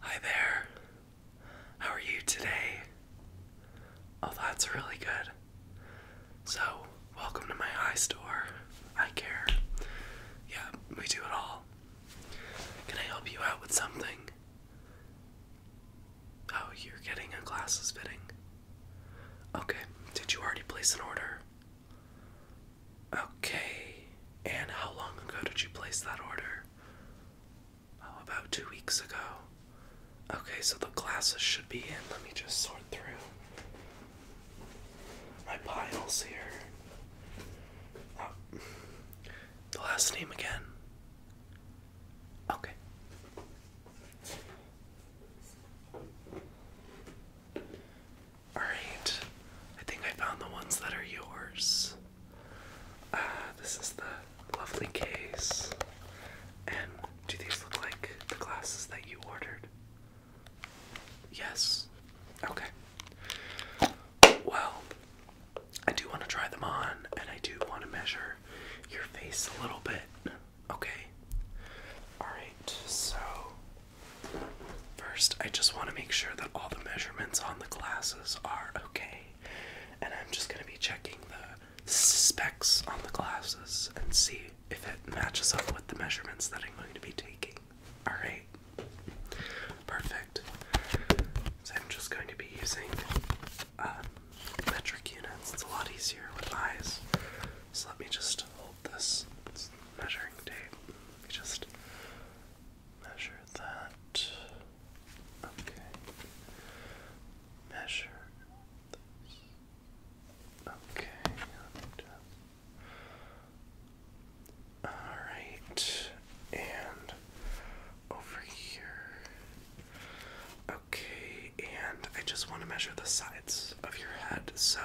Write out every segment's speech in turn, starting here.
Hi there. How are you today? Oh, that's really good. So, welcome to my eye store. I care. Yeah, we do it all. Can I help you out with something? Oh, you're getting a glasses fitting. Okay, did you already place an order? Okay, and how long ago did you place that order? Oh, about two weeks ago. Okay, so the glasses should be in. Let me just sort through my piles here. Oh. The last name again. Okay. Alright, I think I found the ones that are yours. Uh, this is the lovely case. And do these look like the glasses that you ordered? Yes. Okay. Well, I do want to try them on and I do want to measure your face a little bit. Okay. Alright, so First, I just want to make sure that all the measurements on the glasses are okay. And I'm just going to be checking the specs on the glasses and see if it matches up with the measurements that I'm going to be taking. Alright. Perfect. So I'm just going to be using um, metric units. It's a lot easier with eyes. So let me just this it's measuring tape. You just measure that. Okay. Measure this. Okay. All right. And over here. Okay. And I just want to measure the sides of your head. So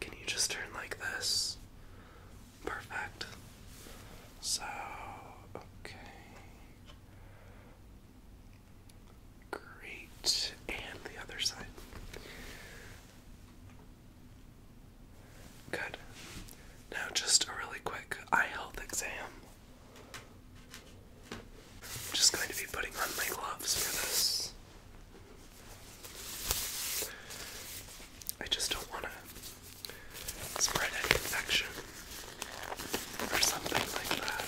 can you just turn like this? Perfect. So, okay. Great. And the other side. Good. Now, just a really quick eye health exam. I'm just going to be putting on my gloves for this. I just don't want to spread any infection or something like that.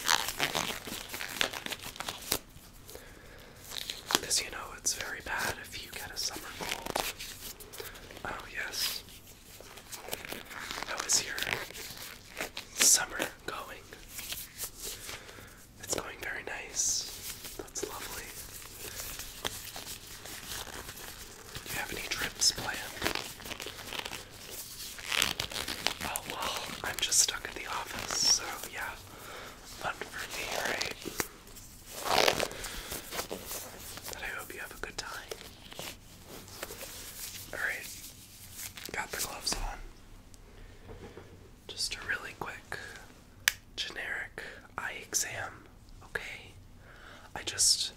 Because you know it's very bad if you get a summer cold. Oh, yes. How is your summer going? It's going very nice. That's lovely. Do you have any trips planned? Oh well, I'm just stuck at the office, so yeah. Fun for me, right? But I hope you have a good time. Alright, got the gloves on. Just a really quick generic eye exam, okay? I just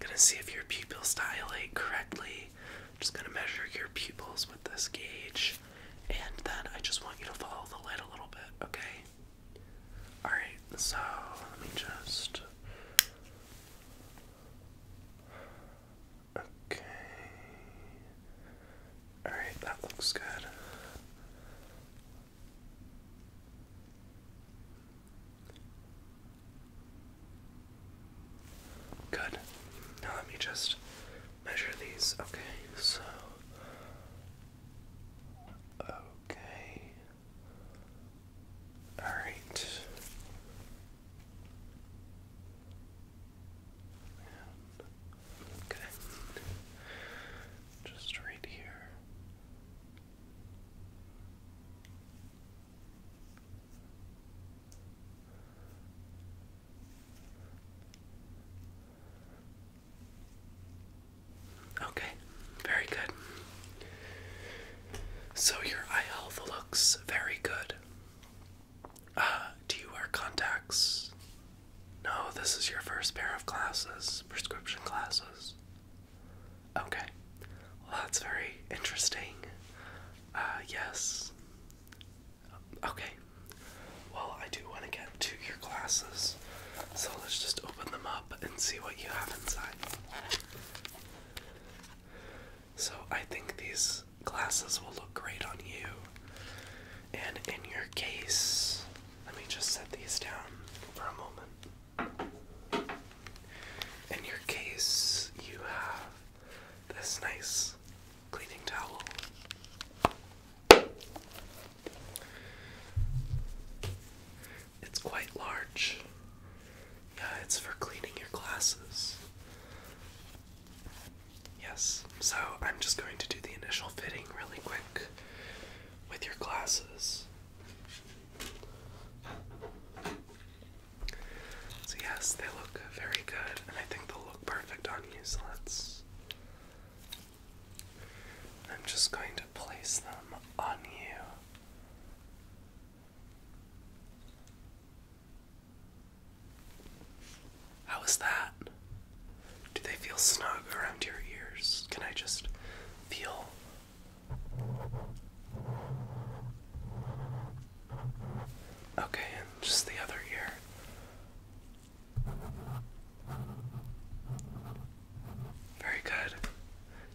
gonna see if your pupils dilate correctly. I'm just gonna measure your pupils with this gauge, and then I just want you to follow the light a little bit, okay? Alright, so let me just Okay. Alright, that looks good. Good. Now let me just measure these. Okay, so. Okay. Alright okay. Just right here. Okay, very good. So your eye health looks very good do you wear contacts? No, this is your first pair of glasses, prescription glasses. Okay. Well, that's very interesting. Uh, yes. Okay. Well, I do want to get to your glasses, so let's just open them up and see what you have inside. So I think these glasses will look great on you. And in your case, let me just set these down for a moment. In your case, you have this nice cleaning towel. It's quite large, yeah, it's for cleaning your glasses. Yes, so I'm just going to do the initial fitting really quick with your glasses. So, yes, they look very good, and I think they'll look perfect on you. So, let's. I'm just going to place them on you. How is that? Do they feel snug around your ears? Can I just feel? Okay, and just the other ear. Very good.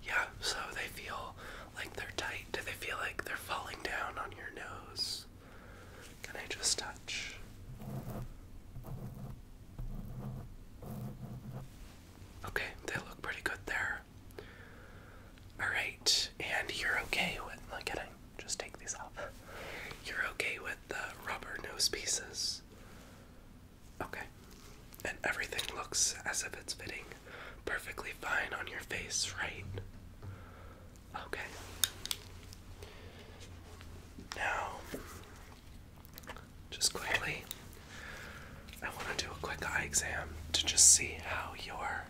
Yeah, so they feel like they're tight. Do they feel like they're falling down on your nose? Can I just touch? Okay, they look pretty good there. Alright, and you're okay with. Look at it. Just take these off. You're okay with the rubber nose pieces. Okay. And everything looks as if it's fitting perfectly fine on your face, right? Okay. Now, just quickly, I want to do a quick eye exam to just see how your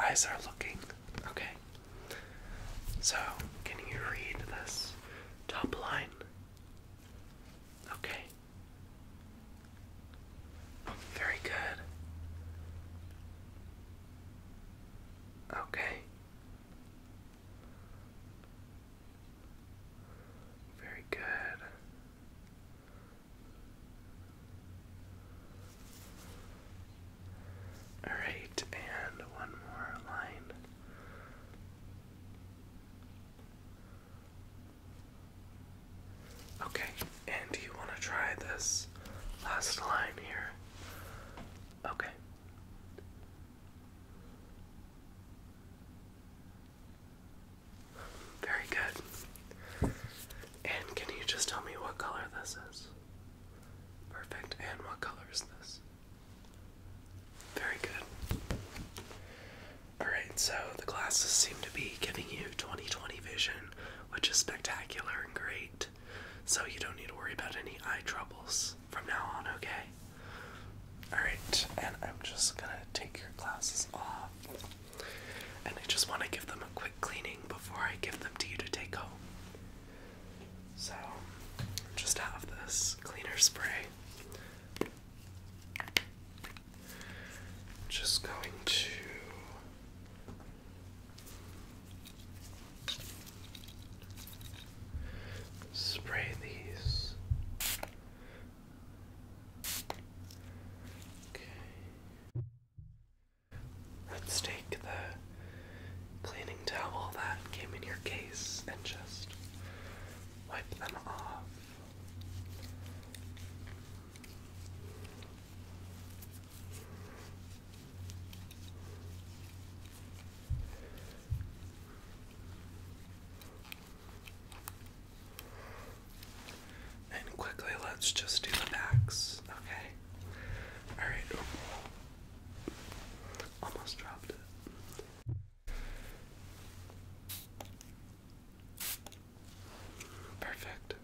eyes are looking. Okay. So, can you read this top line? Okay. Very good. Okay. Very good. All right, and one more line. Okay, and do you want to try this last line here? Okay. Very good. And can you just tell me what color this is? Perfect. And what color is this? Very good. Alright, so the glasses seem to be giving you 20 20 vision, which is spectacular and great. So you don't need to worry about any eye troubles from now on, okay? Alright, and I'm just gonna take your glasses off. And I just want to give them a quick cleaning before I give them to you to take home. So, just have this cleaner spray. Just going to spray these. Okay. Let's take the cleaning towel that came in your case and just wipe them off. And quickly, let's just do the backs, okay? Alright, Almost dropped it. Perfect.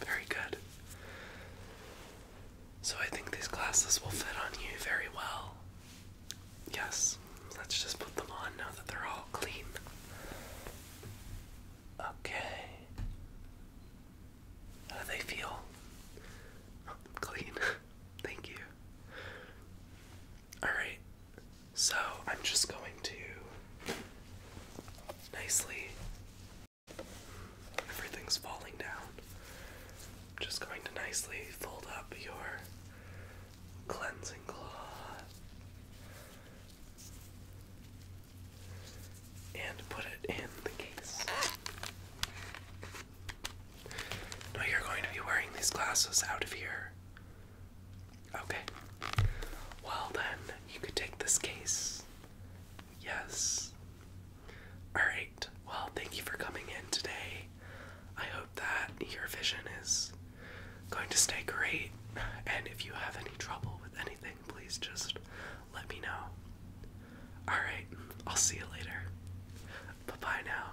Very good. So I think these glasses will fit on you very well. Yes, let's just put them on now that they're all clean. Okay. How do they feel? clean. Thank you. Alright, so I'm just going to nicely. Everything's falling down. I'm just going to nicely fold up your cleansing cloth and put it in the case. Now you're going to be wearing these glasses out of here Okay. Well, then, you could take this case. Yes. Alright. Well, thank you for coming in today. I hope that your vision is going to stay great. And if you have any trouble with anything, please just let me know. Alright. I'll see you later. Bye bye now.